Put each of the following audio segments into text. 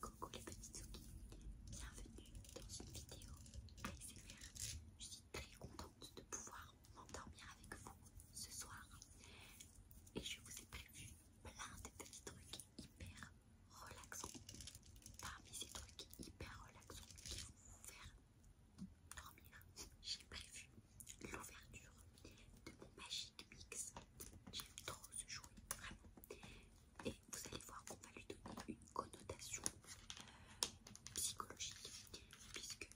Coucou les petites bienvenue dans une vidéo ASMR. Je suis très contente de pouvoir m'endormir avec vous ce soir et je vous ai prévu plein de petits trucs hyper relaxants. Parmi ces trucs hyper relaxants qui vont vous faire dormir, j'ai prévu l'ouverture de mon machine. Mix, J'aime trop ce jouet, vraiment. Et vous allez voir qu'on va lui donner une connotation psychologique, puisque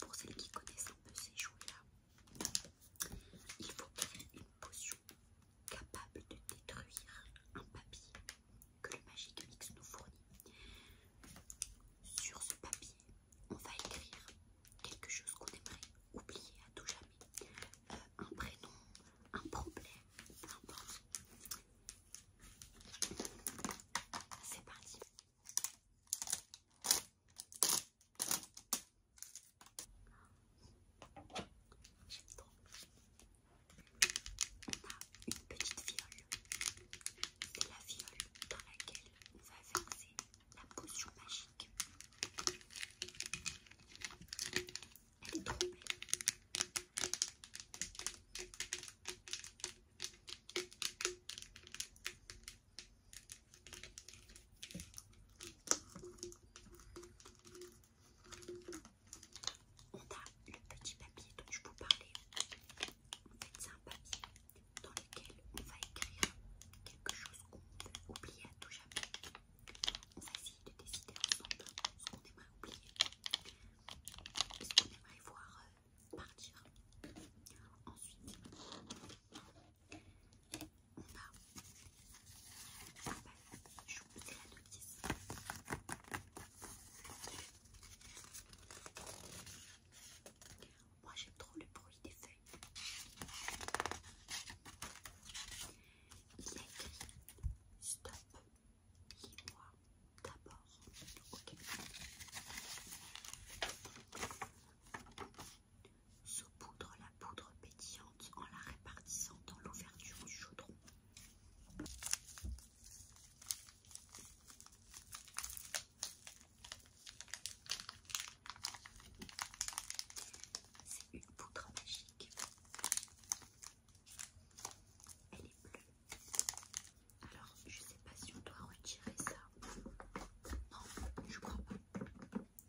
pour celles qui connaissent un peu ces jouets-là, il faut créer une potion capable de détruire un papier que le Magic Mix nous fournit. Sur ce papier, on va écrire quelque chose qu'on aimerait oublier à tout jamais un prénom, un problème, un importe. C'est parti. J'aime trop. On a une petite viole. C'est la viole dans laquelle on va verser la potion magique. Elle est trop belle. On a le petit papier dont je vous parlais. En fait, c'est un papier on va écrire quelque chose qu'on veut oublier à tout jamais. On va essayer de décider ensemble ce qu'on aimerait oublier ce qu'on aimerait voir partir. Ensuite, on va Ah je la notice. Moi j'aime trop le bruit des feuilles. Il écrit Stop, lis-moi d'abord. Se poudre la poudre pétillante en la répartissant dans l'ouverture du chaudron. C'est une poudre magique. Elle est bleue. Alors, je ne sais pas si on doit retirer ça. Non, je crois pas.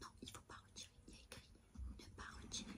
Non, il ne faut pas retirer. Il y a écrit ne pas retirer.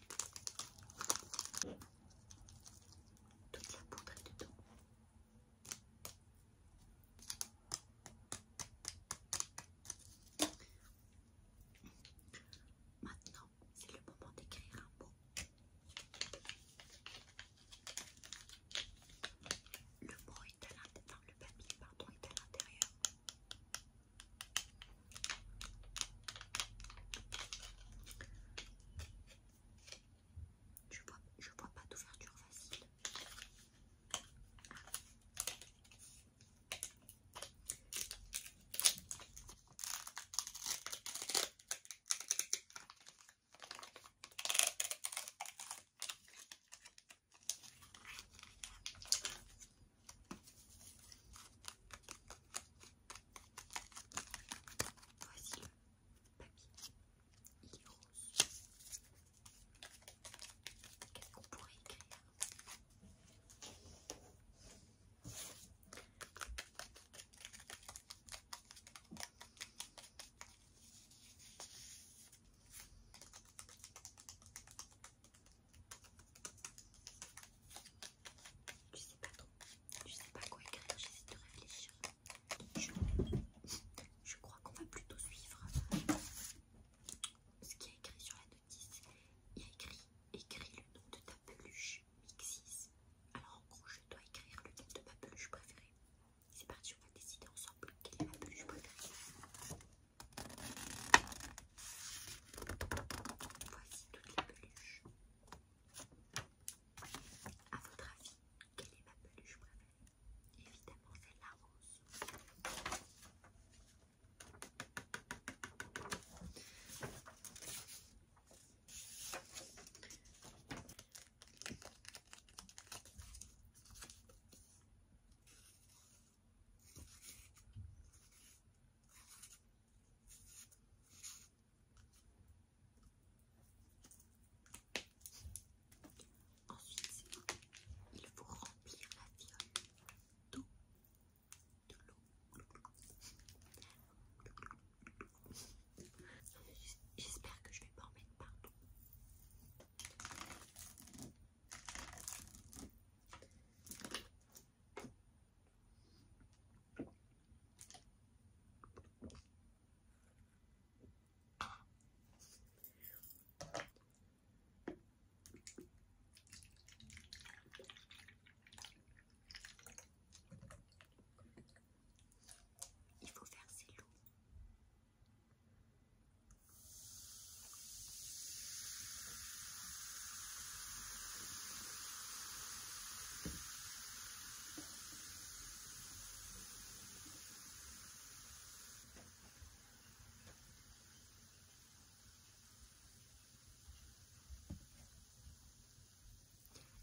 Toute la poudre est dedans. Maintenant, c'est le moment d'écrire un mot. Le mot est à l'intérieur, le papier est à l'intérieur. Je vois, je vois pas d'ouverture facile. Voici le papier. Il est rose. Qu'est-ce qu'on pourrait écrire je sais pas trop. Je sais pas quoi écrire, j'essaie de réfléchir. Je, crois qu'on va plutôt suivre ce qui est écrit sur la notice. Il y a écrit écrit le nom de ta peluche Mixis. Alors en gros, je dois écrire le nom de ma peluche préférée. C'est parti, on va décider ensemble quelle est ma peluche préférée. Voici toutes les peluches. A votre avis, quelle est ma peluche préférée Évidemment, c'est la rose. Ensuite, il faut remplir la viole d'eau, de J'espère que je ne vais pas en mettre partout. Il faut faire verser l'eau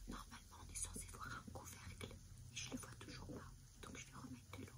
Normalement, on est censé voir un couvercle et je le vois toujours pas, donc je vais remettre de l'eau.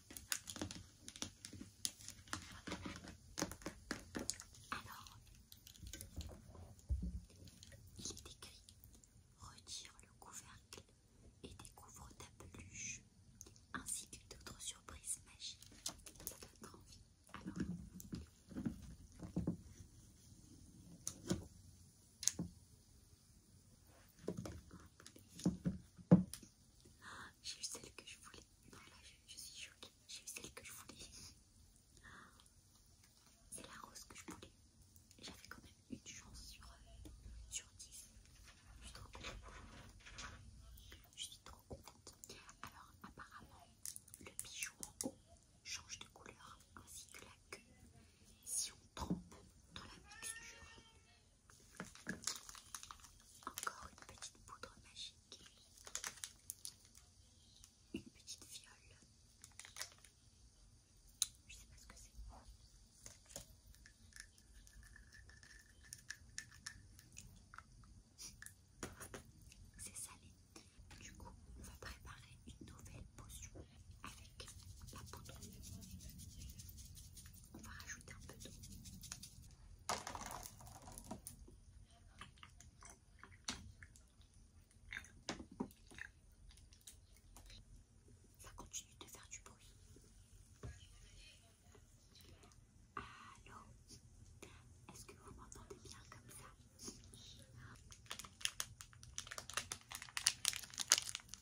Alors, il est écrit Retire le couvercle et découvre ta peluche, ainsi que d'autres surprises magiques. envie. Alors, j'ai eu celle que je voulais. Non, là, je, suis choquée. J'ai eu celle que je voulais. C'est la rose que je voulais. J'avais quand même une chance sur, euh, sur 10. Je suis trop contente. Je suis trop contente. Alors, apparemment, le bijou en haut change de couleur ainsi que la queue trempe dans la mixture. Encore une petite poudre magique. Une petite fiole. Je sais pas ce que c'est. C'est salé. Du coup, on va préparer une nouvelle potion avec la poudre. On va rajouter un peu d'eau. Ça continue de faire du bruit. Allô Est-ce que vous m'entendez bien comme ça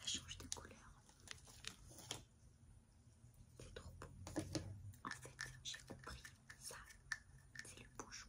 Ça change de couleur. C'est trop beau. En fait, j'ai compris ça. C'est le bouchon.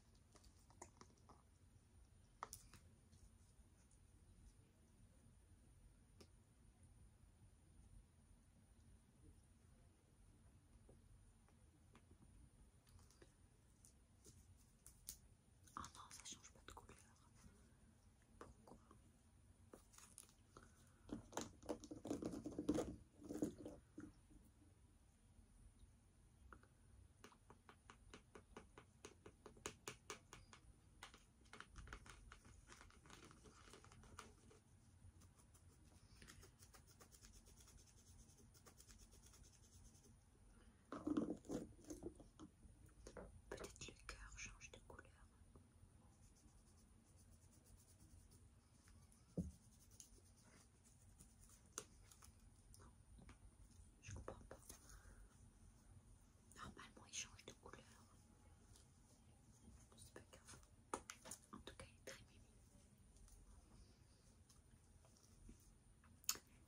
Ah non, ça change pas de couleur. Pourquoi Peut-être le cœur change de couleur je comprends pas. Normalement, il change de couleur. C'est pas grave. En tout cas, il est très mimi.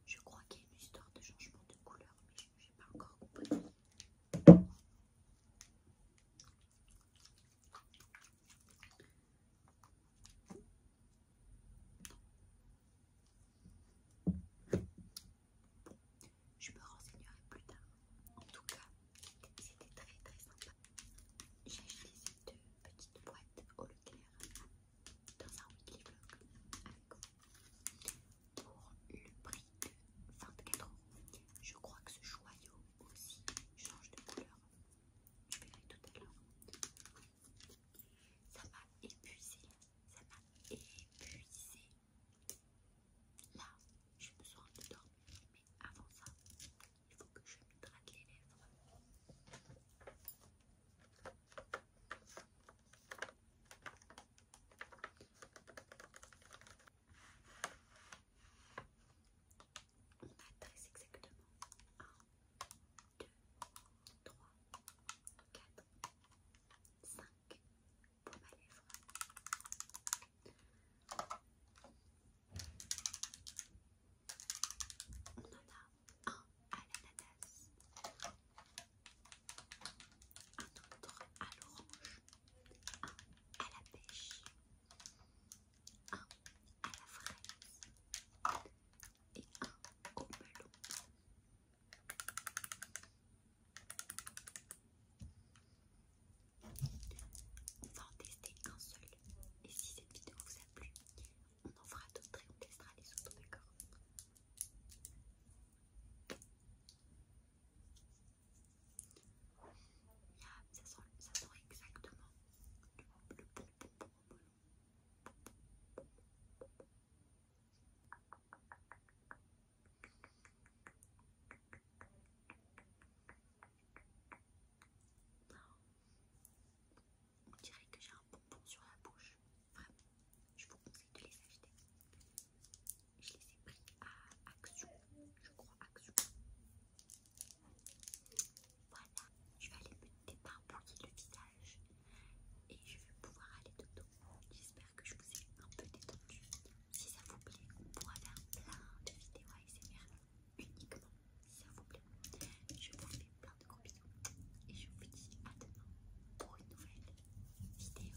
Je crois qu'il y a une histoire de changement de couleur, mais je n'ai pas encore compris. Je me renseignerai plus tard. En tout cas, c'était très très sympa. J'ai acheté cette petite boîte au Leclerc dans un weekly vlog avec vous pour le prix de 24 euros. Je crois que ce joyau aussi change de couleur je aller tout à l'heure. Ça m'a épuisé, ça m'a épuisé. Là, je me sens de dormir, mais avant ça, il faut que je me drague les lèvres. On a exactement un, deux, trois, quatre, cinq pour ma On en a un à l'ananas, un autre à l'orange, un à la pêche, un à la fraise et un au On va en tester un seul et si cette vidéo vous a plu, on en fera d'autres et on testera les autres, d'accord ça sort ça sent exactement le on dirait que j'ai un bonbon sur la bouche. Vraiment, je vous conseille de les acheter. Je les ai pris à Action, je crois Action. Voilà, je vais aller me débarbouiller le visage et je vais pouvoir aller de doux. J'espère que je vous ai un peu détendu. Si ça vous plaît, on pourra faire plein de vidéos ASMR uniquement si ça vous plaît. Je vous fais plein de gros bisous et je vous dis à demain pour une nouvelle vidéo.